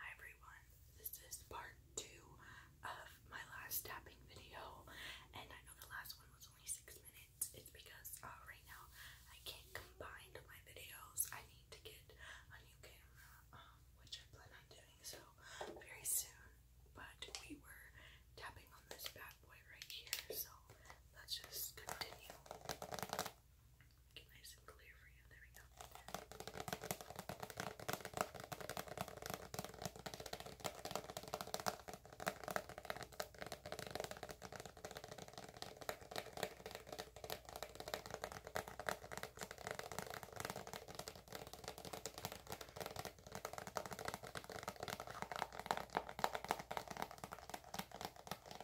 Hi everyone, this is part two of my last tapping video, and I know the last one was only six minutes. It's because uh, right now I can't combine my videos. I need to get a new camera, um, which I plan on doing so very soon. But we were tapping on this bad boy right here, so let's just continue. Nice and clear for you. There we go. Okay,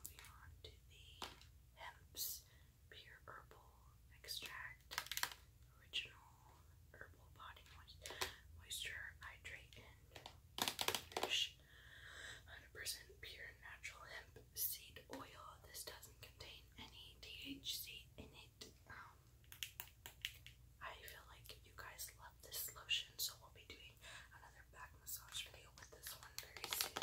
Moving on to the Hemp's Pure Herbal Extract Original Herbal Body Moisture Hydrate and Nourish 100% pure natural hemp seed oil. This doesn't contain any THC in it. Um, I feel like you guys love this lotion, so we'll be doing doing another back massage video with this one very soon.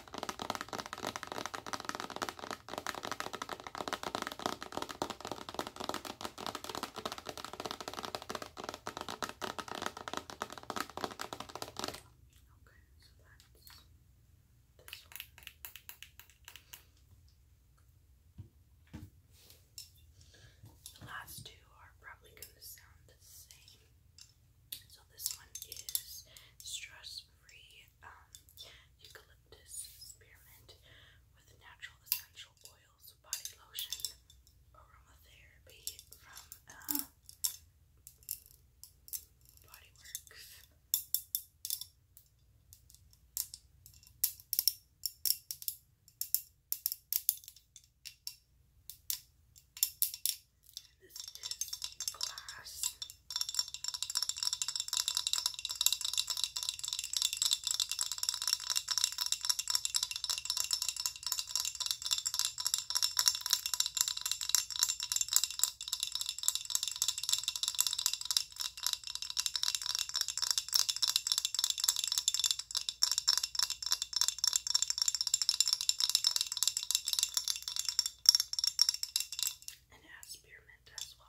The last two are probably going to sound the same. So this one is stress-free um, eucalyptus spearmint with natural essential oils, body lotion, aromatherapy from uh, Body Works. This is glass. And it has spearmint as well.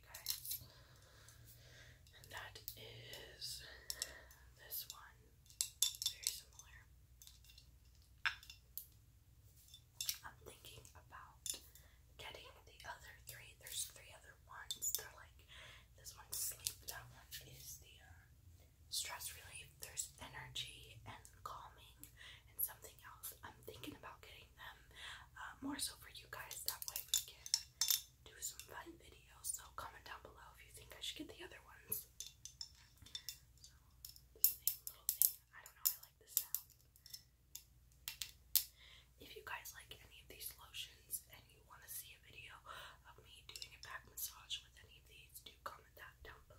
for you guys. And that is this one. Very similar. I'm thinking about getting the other three. There's three other ones. They're like this one's sleep, that one is the uh, stress relief, there's energy and calming and something else. I'm thinking about getting them uh, more so for you guys, that way we can do some fun videos. So comment down below if you think I should get the other ones. If you guys like any of these lotions and you want to see a video of me doing a back massage with any of these, do comment that down below.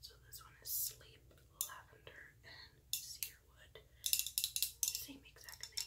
So this one is Sleep Lavender and Cedarwood. Same exact thing.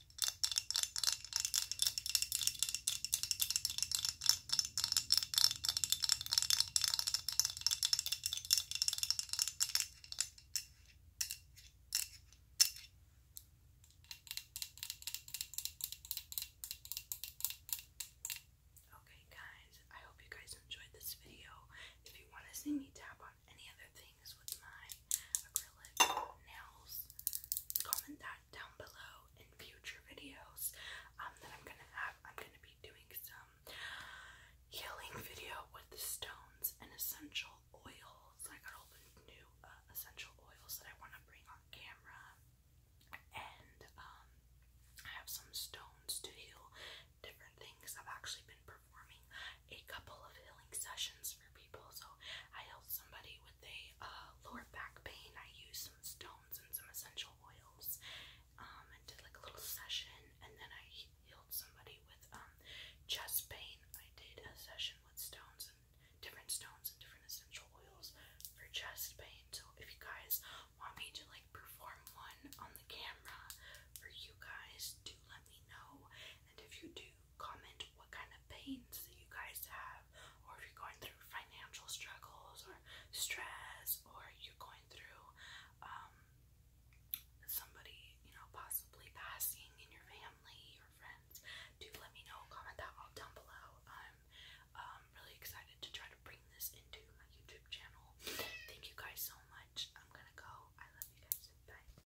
Okay, guys, I hope you guys enjoyed this video. If you want to see me tap on any other things with my acrylic nails. Comment that down below in future videos um, I'm gonna have. I'm gonna be doing some healing video with the stones and essential oils. I got a whole new uh, essential oils that I want to bring on camera, and um, I have some stones to heal different things. I've actually been performing a couple of healing sessions for people. So I helped somebody with a uh, lower back pain. I used some stones and some essential oils um, and did like a little session. And then I healed somebody with um, chest pain. I did a session with stones and different stones and different essential oils for chest pain. So if you guys want me to like perform one on the camera for you guys, do let me know. And if you do, comment what kind of pains that you guys have, or if you're going through financial struggles or stress, or you're going through um, somebody, you know, possibly passing in your family or friends. Do let me know. Comment that all down below. I'm um, really excited to try to bring this into my YouTube channel. Thank you guys so much. I'm gonna go. I love you guys. Bye.